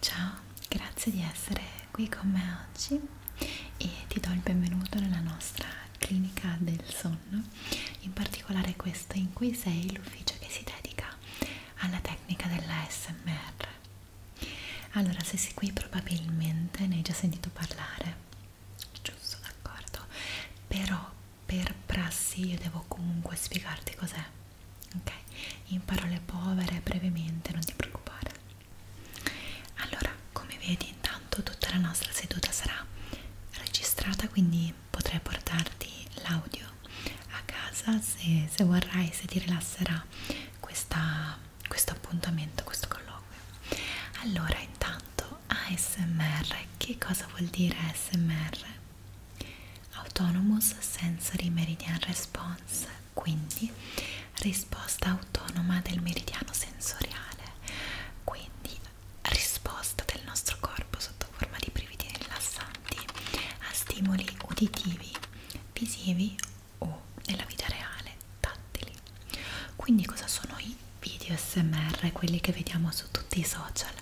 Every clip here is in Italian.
Ciao, grazie di essere qui con me oggi e ti do il benvenuto nella nostra clinica del sonno, in particolare questa in cui sei l'ufficio che si dedica alla tecnica della SMR. Allora, se sei qui probabilmente ne hai già sentito parlare, giusto, d'accordo, però per prassi io devo comunque spiegarti cos'è, ok? In parole povere, brevemente, non ti preoccupare. Allora, come vedi intanto tutta la nostra seduta sarà registrata, quindi potrai portarti l'audio a casa se, se vorrai, se ti rilasserà questa questo appuntamento, questo colloquio. Allora, intanto ASMR, che cosa vuol dire ASMR? Autonomous Sensory Meridian Response, quindi risposta autonoma del meridiano sensoriale, quindi risposta del nostro corpo sotto forma di brividi rilassanti a stimoli uditivi, visivi o nella vita reale tattili. Quindi cosa sono i video SMR, quelli che vediamo su tutti i social?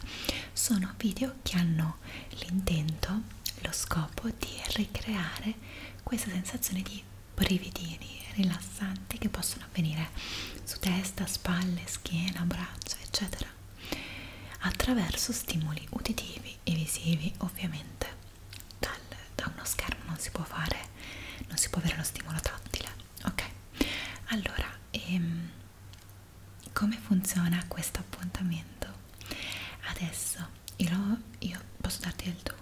Sono video che hanno l'intento, lo scopo di ricreare questa sensazione di brividini rilassanti che possono avvenire su testa, spalle, schiena, braccia, eccetera, attraverso stimoli uditivi e visivi, ovviamente dal, da uno schermo non si può fare non si può avere lo stimolo tattile ok allora ehm, come funziona questo appuntamento adesso io, lo, io posso darti il tu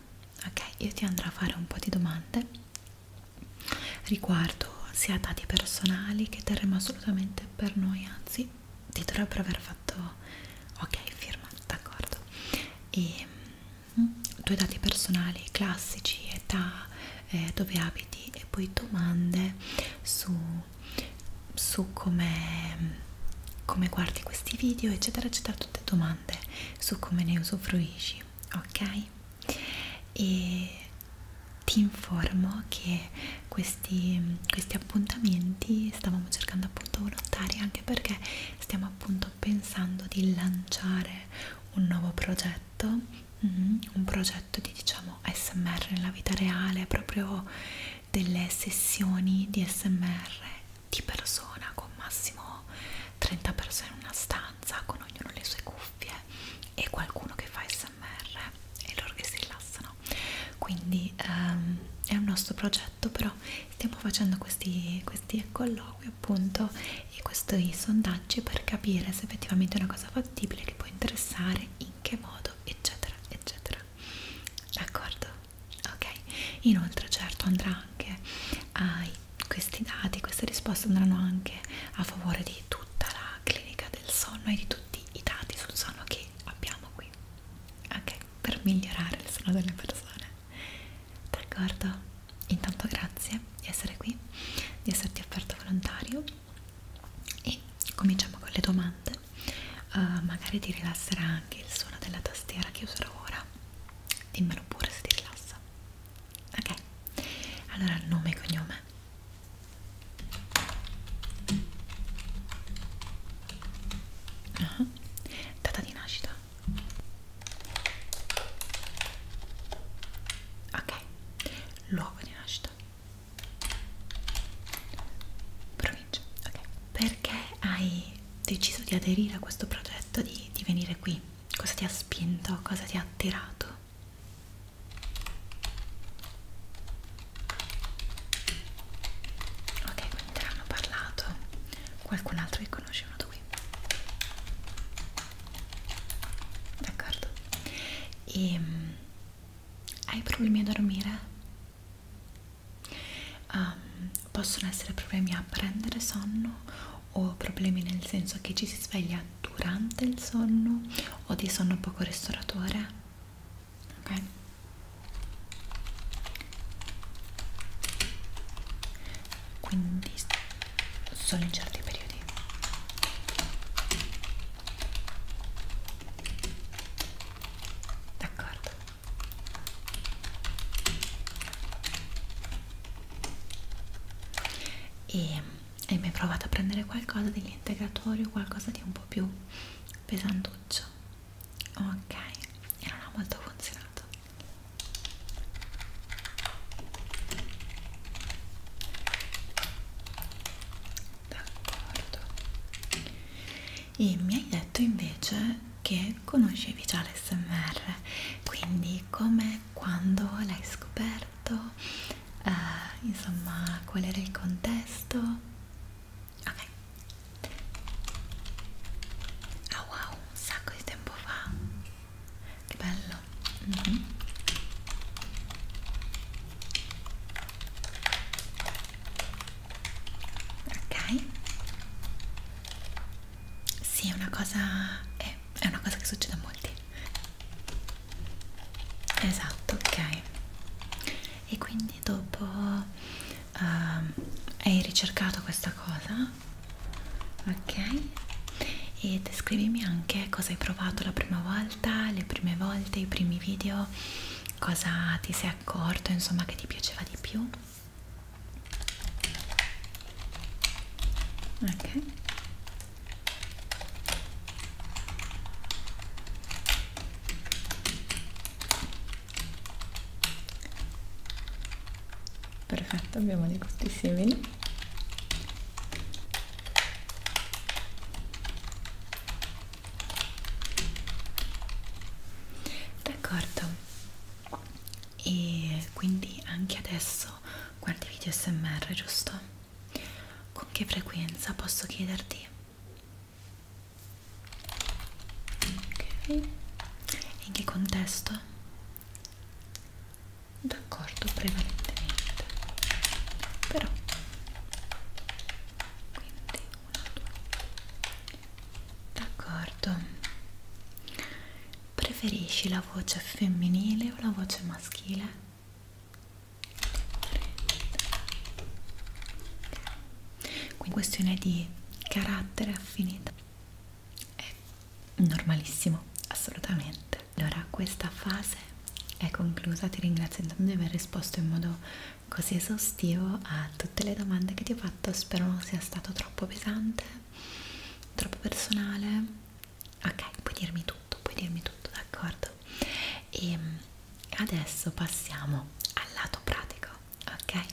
ok io ti andrò a fare un po' di domande riguardo sia dati personali che terremo assolutamente per noi anzi ti dovrebbero aver fatto ok firma d'accordo e ehm, due dati personali classici, età, eh, dove abiti e poi domande su, su come come guardi questi video eccetera eccetera tutte domande su come ne usufruisci ok e ti informo che questi, questi appuntamenti stavamo cercando appunto volontari anche anche perché stiamo appunto pensando di lanciare un nuovo progetto, mm-hmm, un progetto di diciamo SMR nella vita reale, proprio delle sessioni di SMR di persona con massimo 30 persone in una stanza, con ognuno le sue cuffie e qualcuno che fa SMR e loro che si rilassano. Quindi ehm, è un nostro progetto però stiamo facendo questi, questi colloqui appunto e questi sondaggi per capire se effettivamente è una cosa fattibile che può interessare in che modo eccetera eccetera d'accordo ok inoltre certo andrà anche ai questi dati queste risposte andranno anche a favore di tutta la clinica del sonno e di tutti i dati sul sonno che abbiamo qui ok per migliorare il sonno delle persone d'accordo? intanto grazie di essere qui di esserti offerto volontario e cominciamo con le domande uh, magari ti rilasserà anche il suono della tastiera che userò ora dimmelo pure se ti rilassa ok allora nome e cognome uh ah, -huh. data di nascita ok luogo di nascita provincia ok perché hai deciso di aderire a questo progetto di, di venire qui cosa ti ha spinto cosa ti ha attirato ok quindi te l'hanno parlato qualcun altro che conosce uno tutto qui d'accordo e ehm, hai problemi a dormire? Um, possono essere problemi a prendere sonno o problemi nel senso che ci si sveglia durante il sonno o di sonno poco ristoratore ok quindi solo in certi periodi d'accordo e hai mai provato a prendere qualcosa degli integratori o qualcosa di un po' più pesantuccio? ok e non ha molto funzionato d'accordo e mi hai detto invece che conoscevi già l'SMR quindi come quando l'hai scoperto eh, insomma qual era il contesto ok ah wow un sacco di tempo fa che bello mm -hmm. ok sì è una cosa è, è una cosa che succede a molti esatto ok e quindi dopo uh, hai ricercato questa cosa ok e descrivimi anche cosa hai provato la prima volta le prime volte i primi video cosa ti sei accorto insomma che ti piaceva di più ok perfetto abbiamo dei gusti simili d'accordo e quindi anche adesso guardi video smr giusto? con che frequenza posso chiederti? ok e in che contesto? d'accordo prevalentemente però quindi una, due d'accordo preferisci la voce femminile o la voce maschile? quindi questione di carattere affinità è normalissimo, assolutamente. Allora, questa fase è conclusa. Ti ringrazio intanto di aver risposto in modo così esaustivo a tutte le domande che ti ho fatto. Spero non sia stato troppo pesante, troppo personale. Ok, puoi dirmi tutto, puoi dirmi tutto, d'accordo? E ehm, adesso passiamo al lato pratico, ok?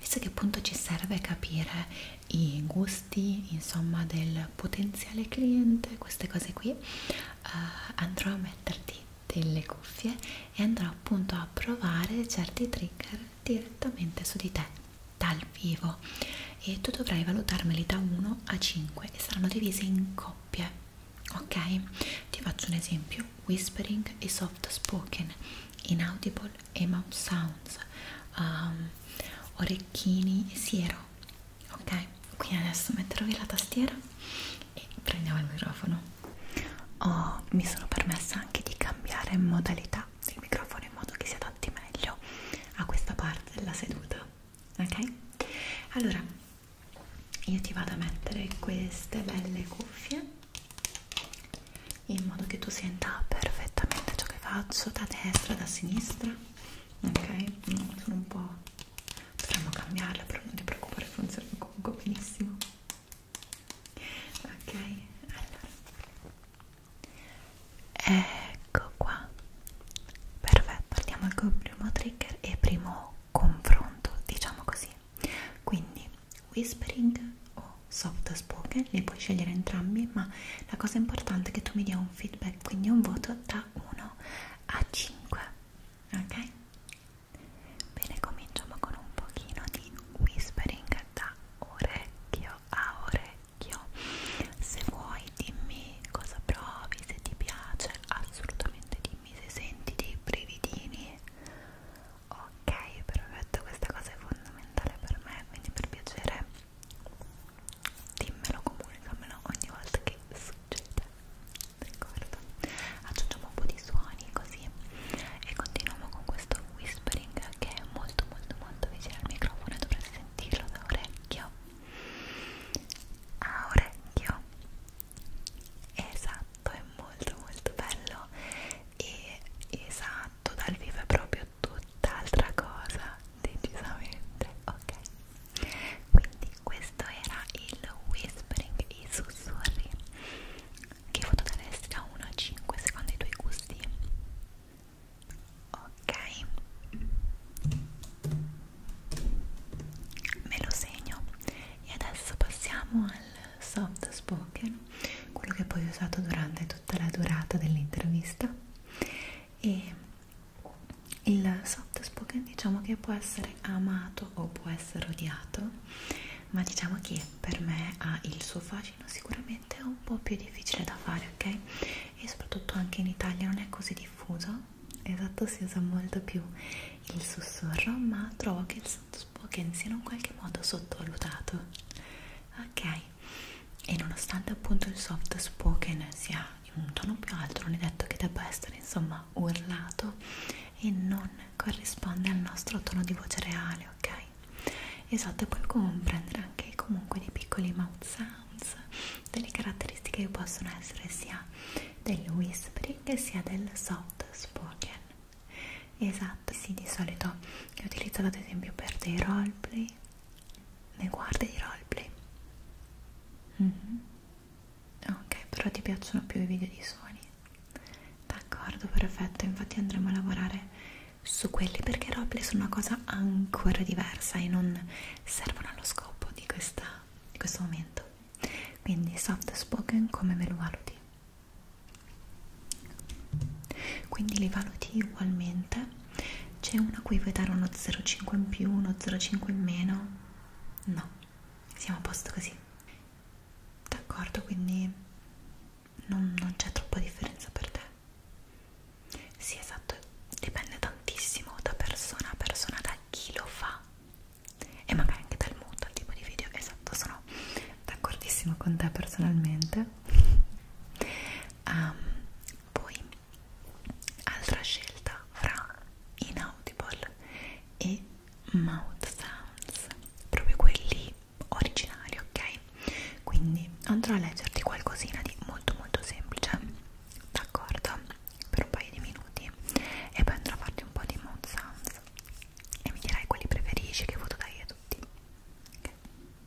Visto che appunto ci serve capire i gusti costi, insomma del potenziale cliente, queste cose qui, uh, andrò a metterti delle cuffie e andrò appunto a provare certi trigger direttamente su di te dal vivo e tu dovrai valutarmeli da 1 a 5 e saranno divisi in coppie ok ti faccio un esempio whispering e soft spoken inaudible e mouth sounds um, orecchini e siero ok quindi adesso metterò via la tastiera e prendiamo il microfono oh, mi sono permessa anche di cambiare modalità del microfono in modo che si adatti meglio a questa parte della seduta ok allora io ti vado a mettere queste belle cuffie in modo che tu senta perfettamente ciò che faccio da destra, da sinistra ok? Mm, sono un po' dovremmo cambiarla però non ti preoccupare funziona comunque benissimo ok? allora ecco qua perfetto andiamo al primo trigger e primo confronto diciamo così quindi whispering o soft spoken, li puoi scegliere entrambi, ma la cosa importante è che tu mi dia un feedback, quindi un voto da 1 a 5, ok? Bene, cominciamo con un pochino di whispering da orecchio a orecchio. Se vuoi dimmi cosa provi, se ti piace, assolutamente dimmi se senti dei brividini. Ok, perfetto, questa cosa è fondamentale per me, quindi per piacere dimmelo, comunicamelo ogni volta che succede d'accordo? aggiungiamo un po' di suoni così e continuiamo con questo whispering che è molto molto molto vicino al microfono e dovrete sentirlo da orecchio a orecchio esatto, è molto molto bello e esatto, dal vivo è proprio tutt'altra cosa decisamente ok quindi questo era il whispering i sussurri che voto daresti da 1 a 5 secondo i tuoi gusti ok me lo segno e adesso passiamo al soft spoken quello che poi ho usato durante tutto tutta la durata dell'intervista e il soft spoken diciamo che può essere amato o può essere odiato ma diciamo che per me ha il suo fascino sicuramente è un po' più difficile da fare ok e soprattutto anche in Italia non è così diffuso esatto si usa molto più il sussurro ma trovo che il soft spoken sia in un qualche modo sottovalutato ok mai e nonostante appunto il soft spoken sia in un tono più alto non è detto che debba essere insomma urlato e non corrisponde al nostro tono di voce reale ok esatto e poi comprendere anche comunque dei piccoli mouth sounds delle caratteristiche che possono essere sia del whispering sia del soft spoken esatto sì di solito è utilizzato ad esempio per dei roleplay ne guardi di roleplay? Mm -hmm. ok però ti piacciono più i video di suoni d'accordo perfetto infatti andremo a lavorare su quelli perché i roleplay sono una cosa ancora diversa e non servono allo scopo di, questa, di questo momento quindi soft spoken come me lo valuti quindi li valuti ugualmente c'è uno a cui vuoi dare uno 0,5 in più uno 0,5 in meno no siamo a posto così d'accordo quindi non, non c'è troppa differenza per te sì esatto dipende tantissimo da persona a persona da chi lo fa e magari anche dal mood al tipo di video esatto sono d'accordissimo con te personalmente Um, poi altra scelta fra Inaudible e Mouth Sounds, proprio quelli originali, ok? Quindi andrò a leggerti qualcosina di molto molto semplice, d'accordo? Per un paio di minuti e poi andrò a farti un po' di Mouth Sounds e mi dirai quali preferisci che foto dai a tutti. Okay.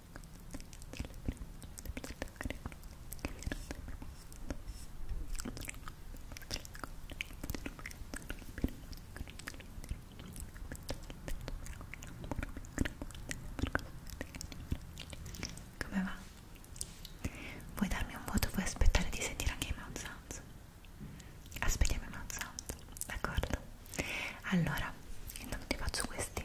Come va? Vuoi darmi un voto? Vuoi aspettare di sentire anche i mouth sounds? Aspettiamo i mouth sounds, d'accordo? Allora, intanto ti faccio questi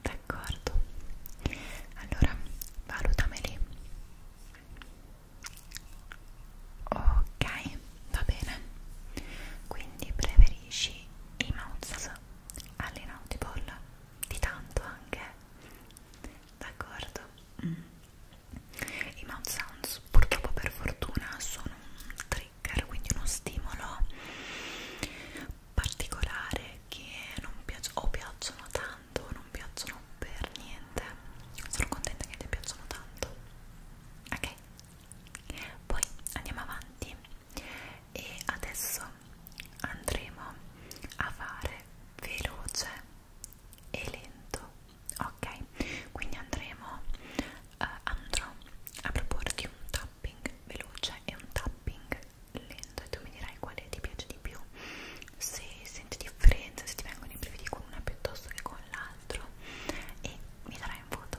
D'accordo, allora valutameli. Ok, va bene. Quindi preferisci i mouse all'inaudible di tanto anche d'accordo mm. i mouth sounds purtroppo per fortuna sono un trigger quindi uno stimolo particolare che non piacciono o piacciono tanto o non piacciono per niente sono contenta che ti piacciono tanto ok poi andiamo avanti e adesso andremo a fare veloce e lento ok quindi andremo eh, andrò a proporti un tapping veloce e un tapping lento e tu mi dirai quale ti piace di più se senti differenza se ti vengono i brividi con una piuttosto che con l'altro e mi darai un voto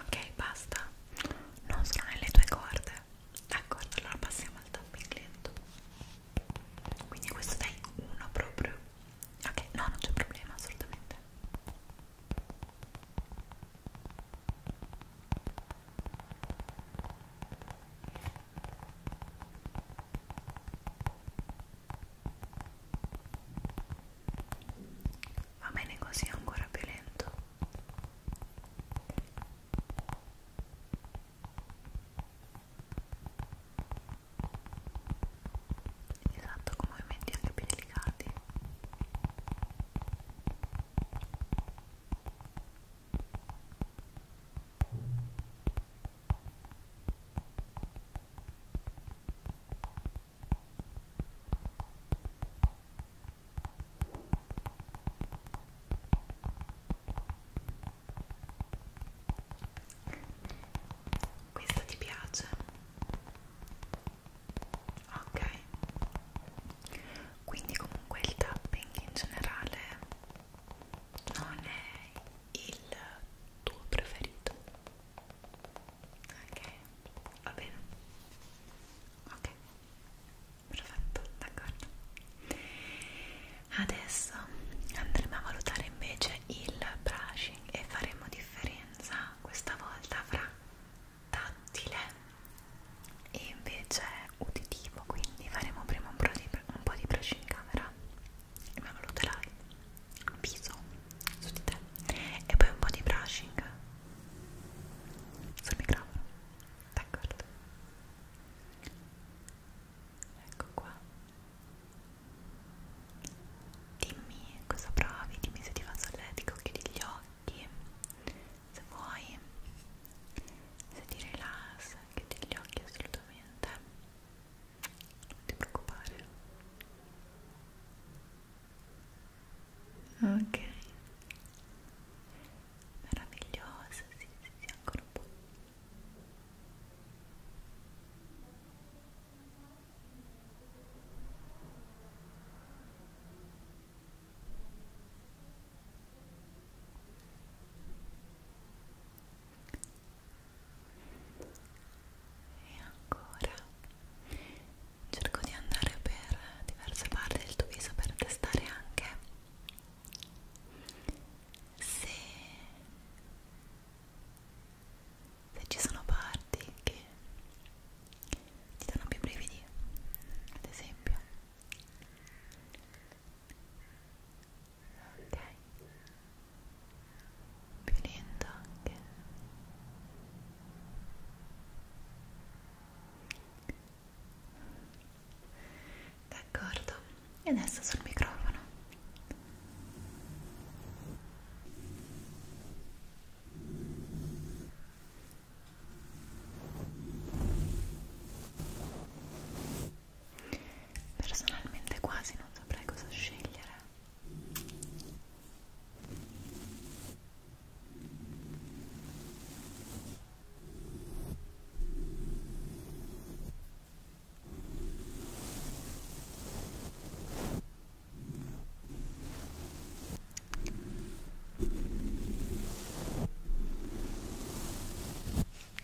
Ok, basta. Non sono nelle tue corde. D'accordo, allora passiamo al tapping lento. Quindi questo dai uno proprio. Ok, no, non c'è problema assolutamente. Ok, Va bene così, ancora più lento. Esatto, con movimenti anche più delicati. Ecco questo ti piace? Ok. Quindi comunque il tapping in generale non è il tuo preferito ok va bene ok perfetto d'accordo adesso andremo a valutare invece il brushing e faremo differenza questa volta fra tattile e invece uditivo quindi faremo prima un po' di, un po di brushing camera ma lo terrai un viso su di te e poi un po' di brushing sul microfono d'accordo ecco qua dimmi cosa provi dimmi se ti fa solletico chiudi gli occhi se vuoi se ti rilassa chiudi gli occhi assolutamente non ti preoccupare ok meravigliosa sì sì sì ancora un po' e ancora cerco di andare per diverse parti del tuo viso per testare anche se, se ci sono parti che ti danno più brividi ad esempio ok finendo anche d'accordo e adesso sul microfono ok Personalmente quasi non saprei cosa scegliere.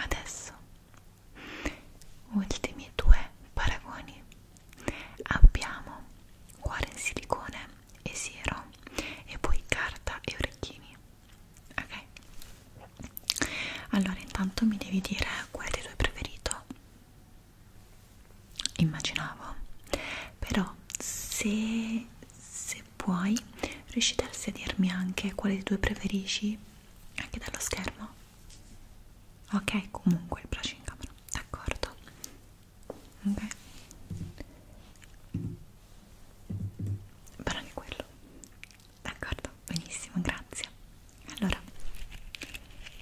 Adesso ultimi due paragoni abbiamo cuore in silicone e siero e poi carta e orecchini ok allora intanto mi devi dire qual è il tuo preferito immaginavo però se, se puoi riuscite a dirmi anche quale dei due preferisci anche dallo schermo ok comunque il braccio in camera d'accordo ok però anche quello d'accordo benissimo grazie allora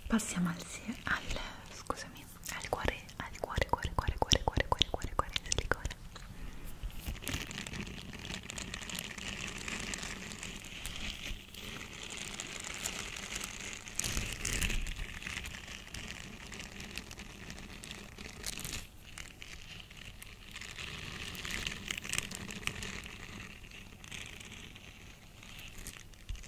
passiamo al, al scusami scusami ha il cuore ha il cuore cuore cuore cuore cuore cuore cuore cuore in silicone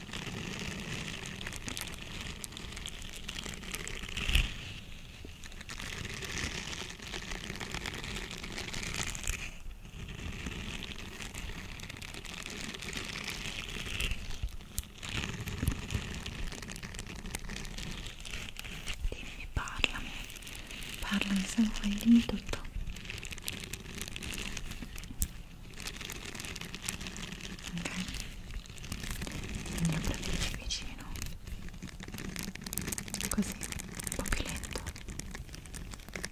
Dimmi, parlami, parlami se vuoi, dimmi tutto ok? Quindi aprirci vicino così, un po' più lento d'accordo ok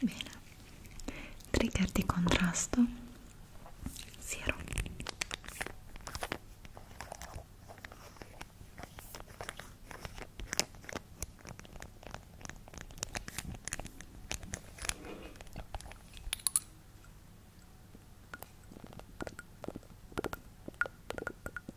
Bene, trigger di contrasto, siero.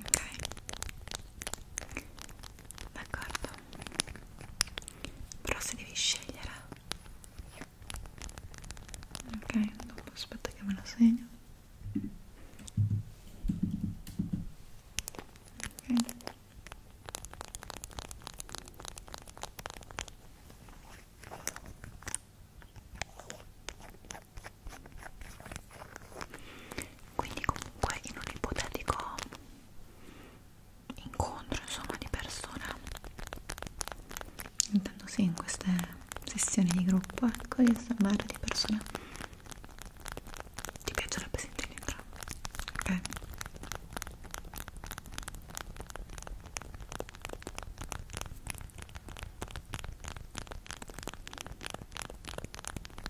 ok d'accordo però se devi scegliere ok aspetta che me lo segno ok quindi comunque in un ipotetico incontro insomma di persona intendo sì in queste sessioni di gruppo ecco di assemblare di persona ti piacerebbe sentirmi entrambi ok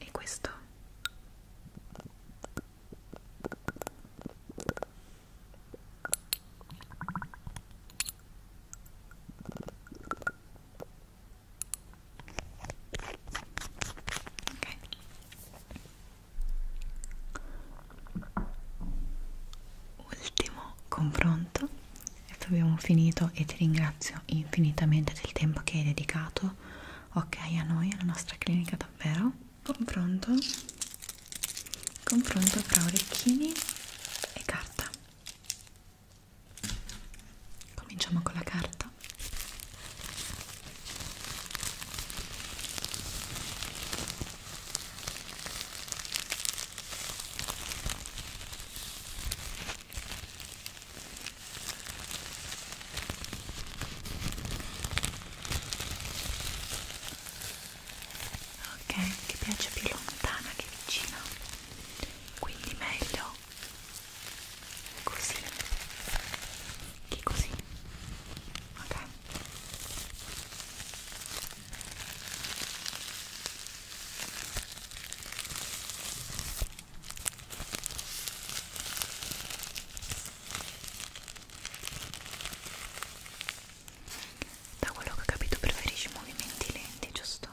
E questo? Ok. Ultimo confronto abbiamo finito e ti ringrazio infinitamente del tempo che hai dedicato ok a noi alla nostra clinica davvero confronto confronto tra orecchini e carta cominciamo con la carta ok ti piace più lontana che vicina quindi meglio così che così ok da quello che ho capito preferisci movimenti lenti, giusto?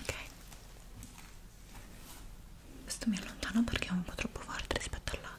Ok. Questo mi allontano perché è un po' troppo forte rispetto all'altro.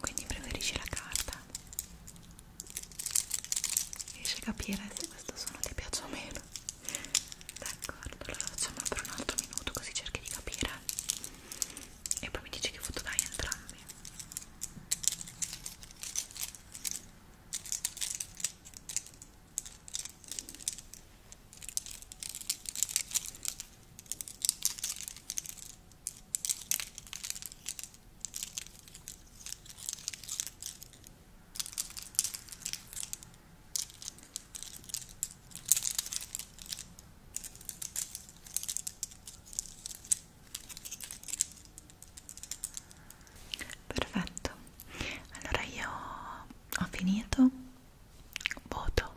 quindi preferisci la carta riesci a capire se questo suono ti piace o meno d'accordo allora facciamo per un altro minuto così cerchi di capire e poi mi dici che foto dai entrambi ok Perfetto, allora io ho finito, voto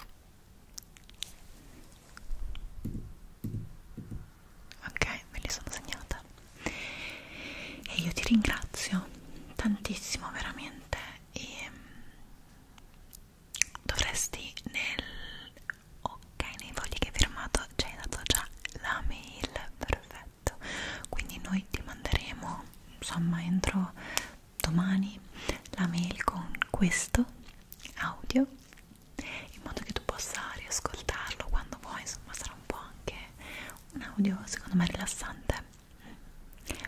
ok me li sono segnata e io ti ringrazio tantissimo veramente e mm, dovresti nel ok nei fogli che hai firmato ci hai dato già la mail perfetto quindi noi ti manderemo insomma entro domani la mail con questo audio in modo che tu possa riascoltarlo quando vuoi, insomma sarà un po' anche un audio secondo me rilassante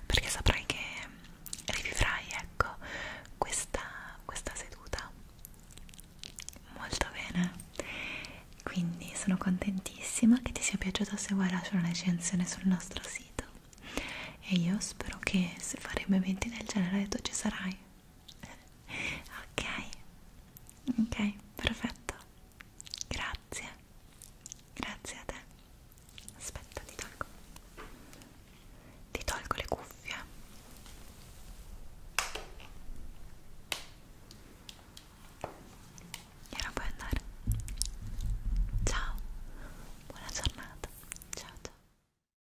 perché saprai che rivivrai ecco questa, questa seduta molto bene quindi sono contentissima che ti sia piaciuta se vuoi lasciare una recensione sul nostro sito e io spero che se faremo eventi del genere tu ci sarai ok ok perfetto grazie grazie a te aspetta ti tolgo ti tolgo le cuffie e ora puoi andare ciao buona giornata ciao ciao